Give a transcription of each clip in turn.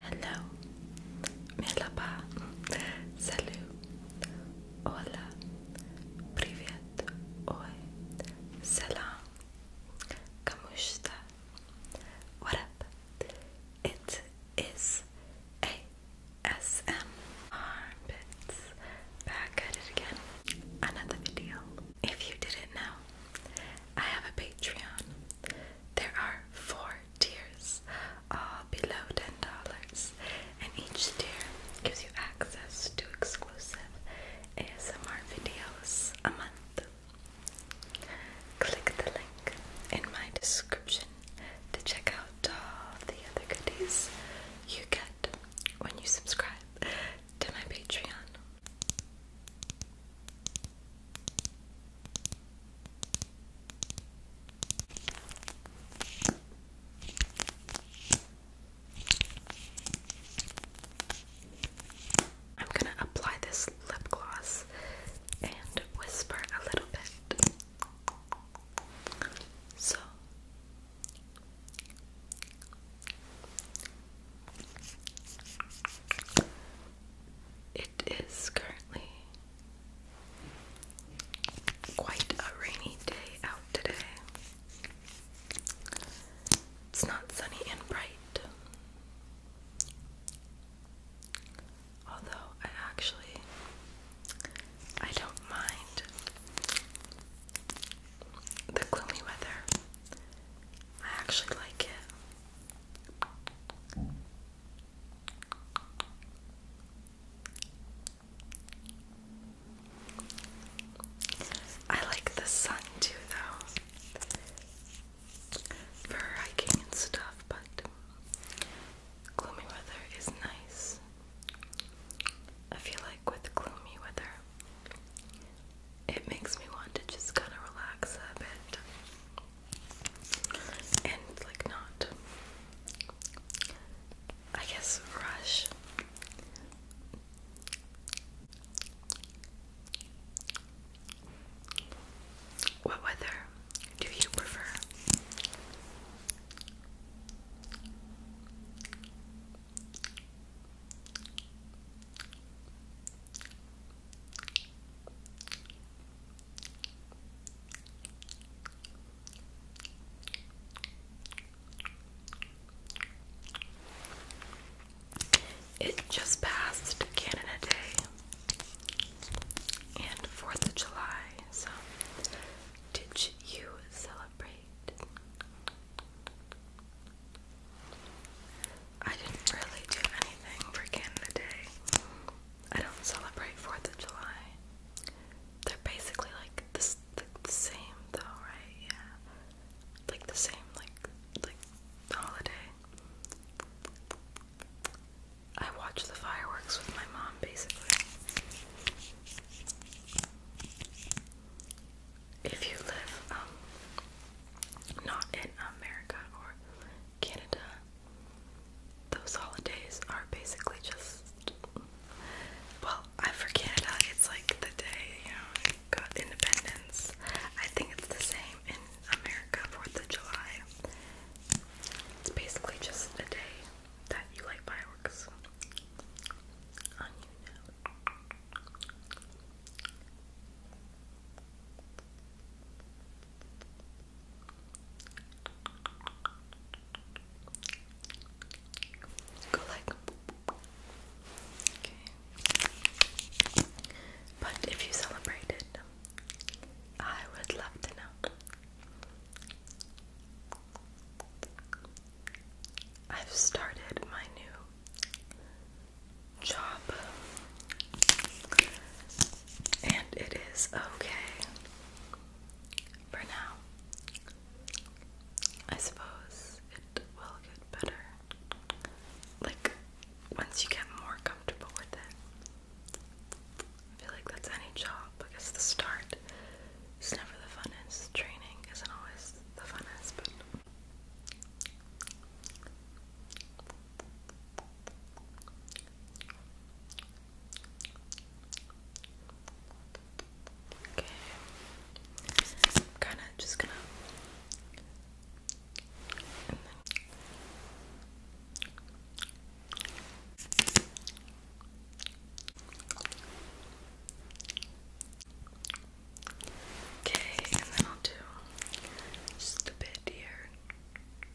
Hello, merhaba, salut, hola, privet, oi, selam, kamushta, what up? It is ASM Armpits back at it again. Another video. If you didn't know, I have a Patreon. There are four tiers, all below $10, and each tier gives you access to exclusive ASMR videos a month. Click the link in my description to check out all the other goodies you get when you subscribe to my Patreon. I'm going to apply this lip gloss and whisper a little bit. So it is currently Quite a rainy day out today. It's not sunny and bright. Although I actually I don't mind the gloomy weather. I actually like it. I like the sun too, though, for hiking and stuff, but gloomy weather is nice. I feel like with gloomy weather, it makes me want to just kind of relax a bit and like not I guess rush what weather do you prefer? It just passed Canada Day and 4th of July, so did you celebrate? I didn't really do anything for Canada Day. I don't celebrate 4th of July. They're basically like the same though, right? Yeah. Like the same like like holiday. I watch the fireworks with my mom basically. If you live um, not in America or Canada, those holidays are basically just well, I forget. Uh, it's like the day you know got independence. I think it's the same in America, Fourth of July. It's basically just a day that you light fireworks but if you celebrate it, I would love to know. I've started my new job. And it is okay for now. I suppose it will get better. Like, once you get more comfortable with it. I feel like that's any job because the start is never the funnest. Training isn't always the funnest, Okay. i kinda just gonna Okay, and then I'll do just a bit here.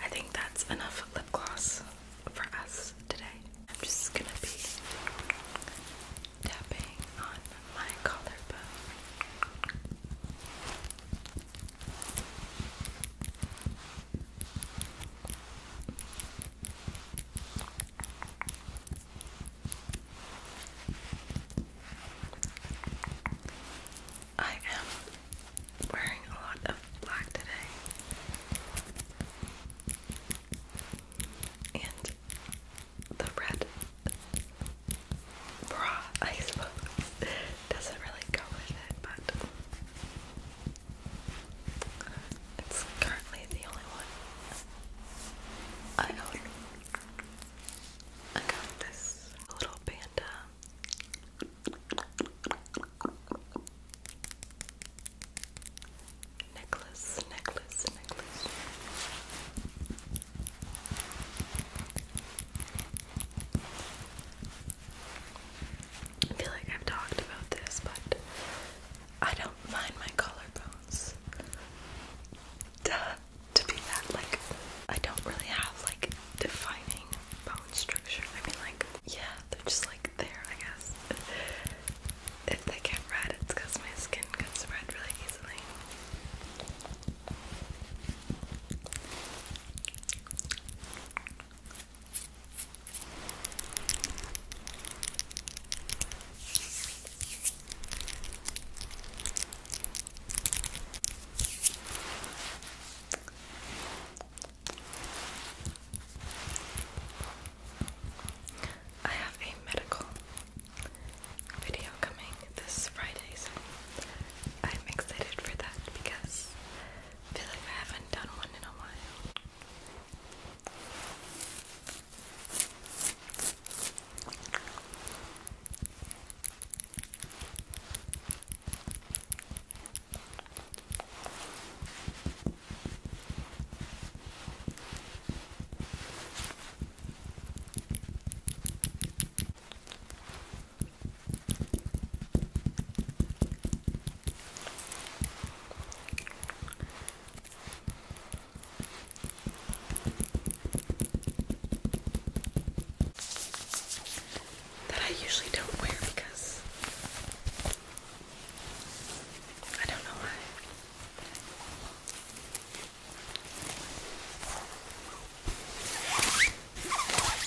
I think that's enough lip gloss for us today. I'm just gonna be tapping on my collarbone. I am wearing a lot of black today. And the red bra, I suppose, doesn't really go with it, but it's currently the only one I own. I got this little panda necklace, necklace, necklace. I feel like I've talked about this, but I don't mind my collarbones. to be that, like, I don't really have, like, defining bone structure. I mean, like, yeah, they're just, like, there, I guess. If they get red, it's because my skin gets red really easily. I have a medical video coming this Friday, so I'm excited for that because feel like I haven't done one in a while. That I usually don't wear because I don't know why.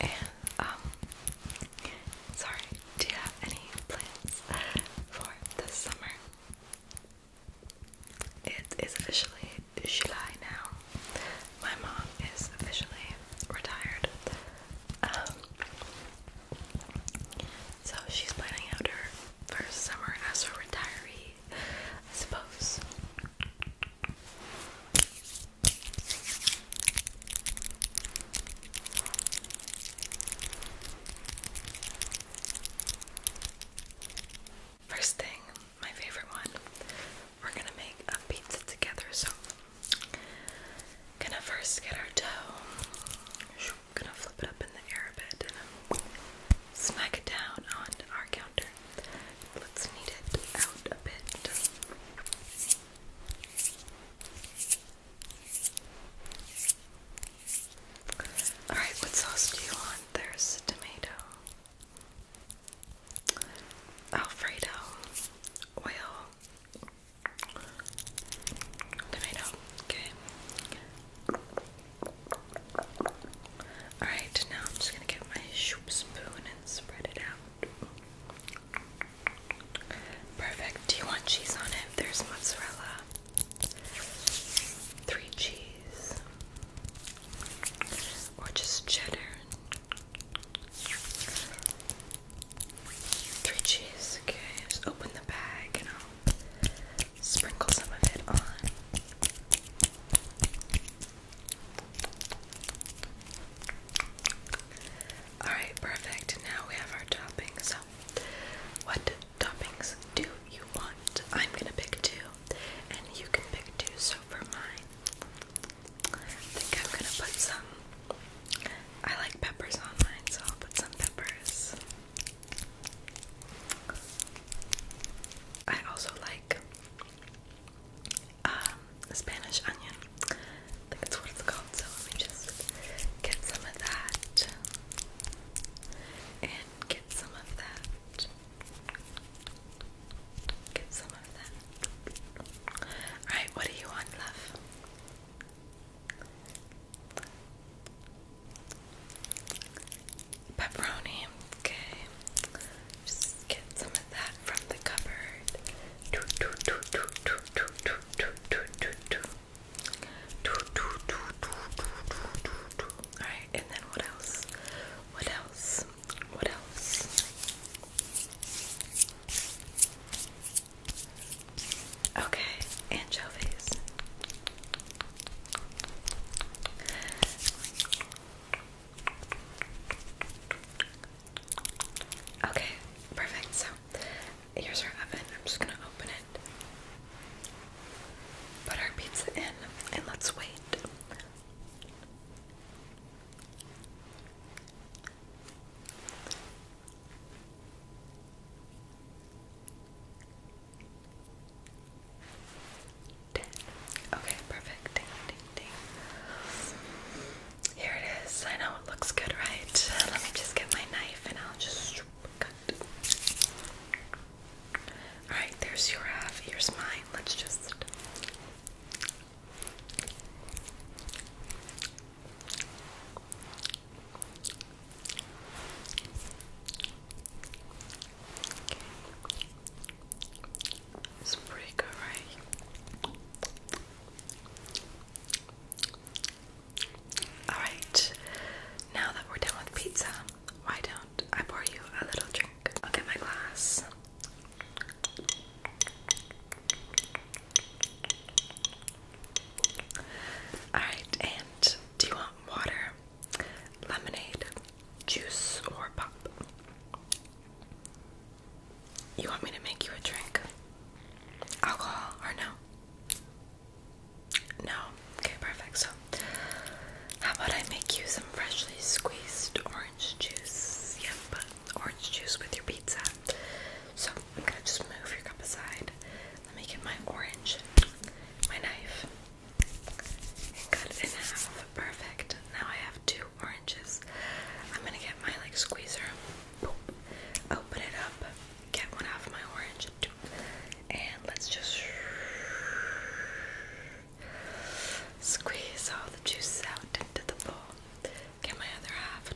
And um sorry, do you have any plans for this summer? It is officially July now. My mom is officially retired. Um so she's planning out her first summer as a retiree, I suppose. First thing, my favorite one, we're gonna make a pizza together. So, gonna first get our dough gonna flip it up in the air a and um, smack it down on our counter. Let's knead it out a bit. Alright, what sauce do you want? There's tomato, Alfredo, oil, Tomato. Okay. Alright, now I'm just gonna get my shoop spoon and spread it out. Perfect. Do you want cheese on it? There's mozzarella. Three cheese. Or just cheddar. Three Okay, just open the bag and I'll sprinkle some of it on. Alright, perfect. Now we have our toppings. So, what toppings do you want? I'm gonna pick two, and you can pick two. So, for mine, I think I'm gonna put some. I like peppers on mine, so I'll put some peppers. I also like um, Spanish onion. that's what it's called. So let me just get some of that and get some of that. Get some of that. Alright, what do you want, love? Pepperoni, okay. Just get some of that from the cupboard. Alright, and then what else? What else? What else? Okay, anchovies. Okay, perfect. So here's our oven. I'm just gonna open it, put our pizza in, and let's wait. Okay, perfect. Ding, ding, ding. Here it is. I know it looks good, right? Let me just get my knife and I'll just cut. Alright, there's your half. Uh, here's mine. Let's just. It's right? Alright, now that we're done with pizza, why don't I pour you a little drink? I'll get my glass. Alright, and do you want water, lemonade, juice, or pop? You want me to make you a drink? Alcohol or no? No? Okay, perfect. So, how about I make you some freshly squeezed orange juice? Yep, orange juice with your pizza. So, I'm gonna just move your cup aside. Let me get my orange, my knife, cut it in half. Perfect. Now I have two oranges. I'm gonna get my like squeezer, boop, open it up, get one half of my orange, and let's just squeeze all the juices out into the bowl. Get my other half,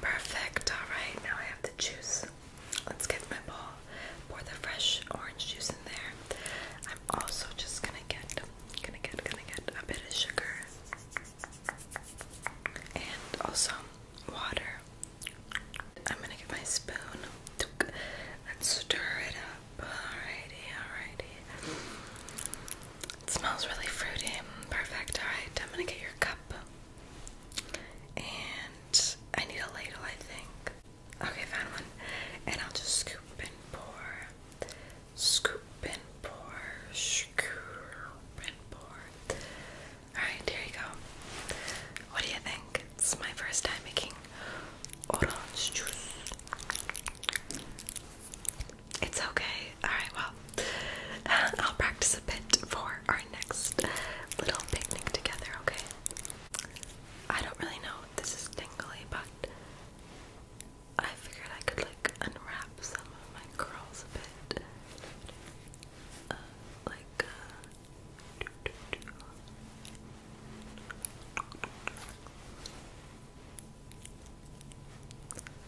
Perfect. All right, now I have the juice. Let's get my bowl. Pour the fresh orange juice in there. I'm also just gonna get, gonna get, gonna get a bit of sugar and also water. I'm gonna get my spoon and stir it up. Alrighty, alrighty. It smells really fruity. Perfect. Alright, I'm gonna get your cup. And I need a ladle, I think. Okay, found one. And I'll just scoop and pour. Scoop and pour. Scoop and pour. Alright, here you go. What do you think? It's my first time making orange juice. It's okay. Alright, well, I'll practice a bit for our next little picnic together, okay? I don't really know if this is tingly, but I figured I could like unwrap some of my curls a bit. Uh, like, uh,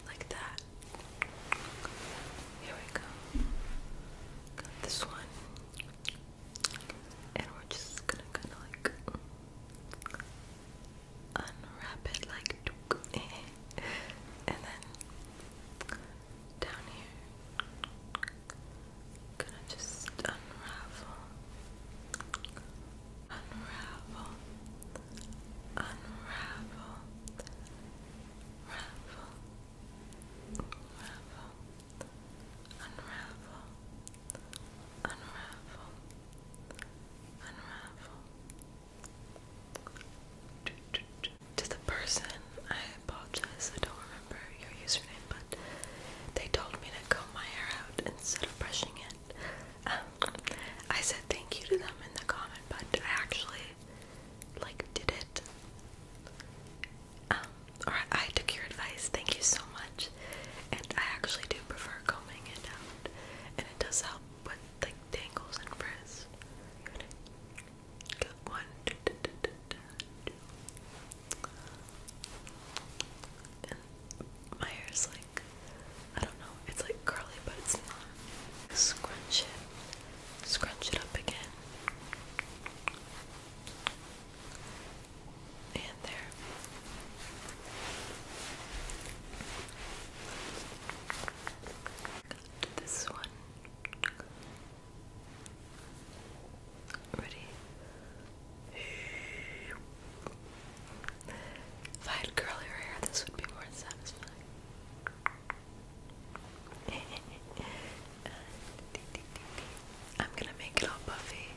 like that. Here we go. Got this one. And we're just gonna kinda like unwrap it like and then down here gonna just unravel unravel, unravel, ravel, ravel, unravel, unravel, unravel. To the person, I apologize, I don't remember your username, but they told me to comb my hair out instead of brushing it. Um, I said thank you to them in the comment, but I actually like did it. Um, or I took your advice. Thank you so much. And I actually do prefer combing it out, and it does help with like tangles and frizz. one. Da, my hair's like I don't know, it's like curly, but it's not. Scrunch it, scrunch it up again. And there. this one. Ready? If I had curlier hair, this would be more satisfying. I'm gonna make it all puffy.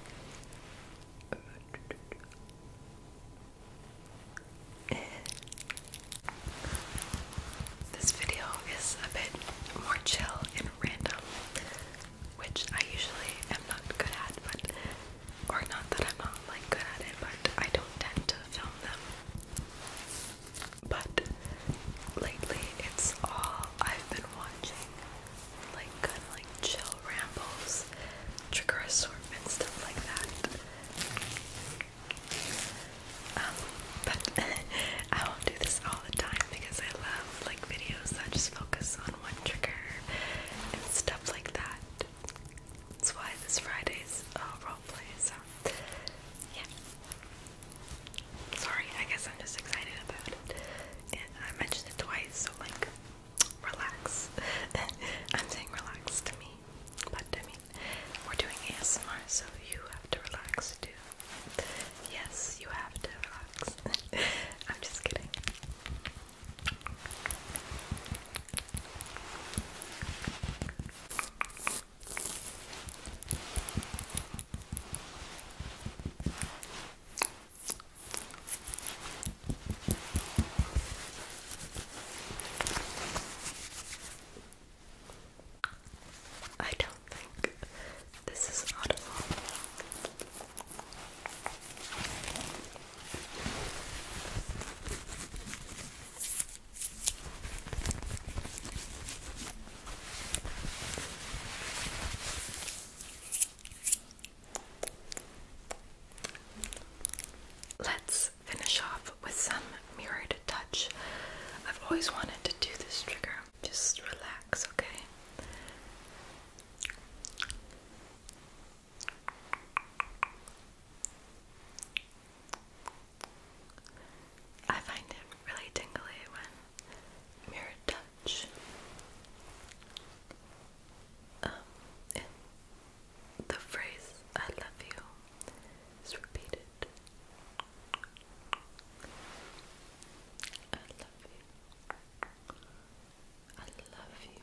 This video is a bit more chill and random, which I usually am not good at, but or not that I'm not like good at it, but I don't tend to film them. But lately, it's all I've been watching, like kind like chill rambles, trigger assortment, stuff like that. Um, but I will do this all the time because I love like videos that just focus on one trigger and stuff like that. That's why this Friday's uh, roleplay, so yeah. Sorry, I guess I'm just excited about it. I mentioned it twice, so like, relax. I'm saying relax to me, but I mean, we're doing ASMR, so you have to relax too. Yes, you have to relax. I'm just kidding. I don't think this is audible. Let's finish off with some mirrored touch. I've always wanted to do this trigger. Just relax, okay? I find it really tingly when mirror touch. Um, and the phrase "I love you" is repeated. I love you. I love you.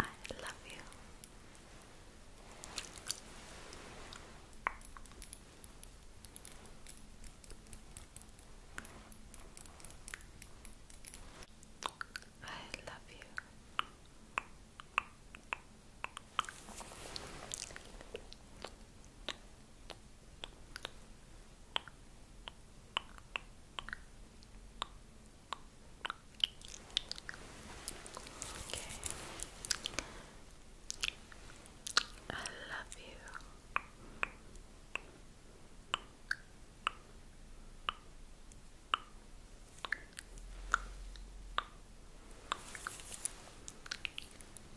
I love you. I love you. I love you. I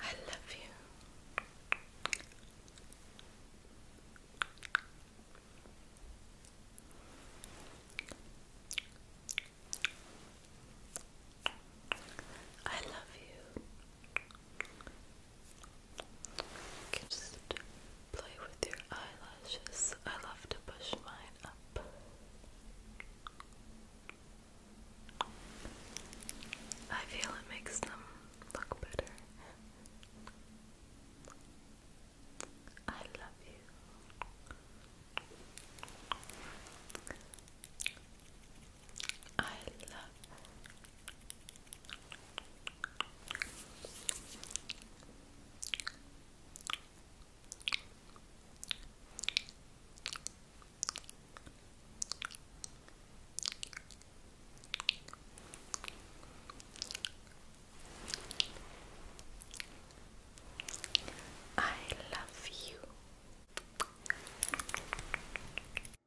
I love you. I love you just play with your eyelashes. I love to push mine up. I feel it makes them look better. I love you. I love I love you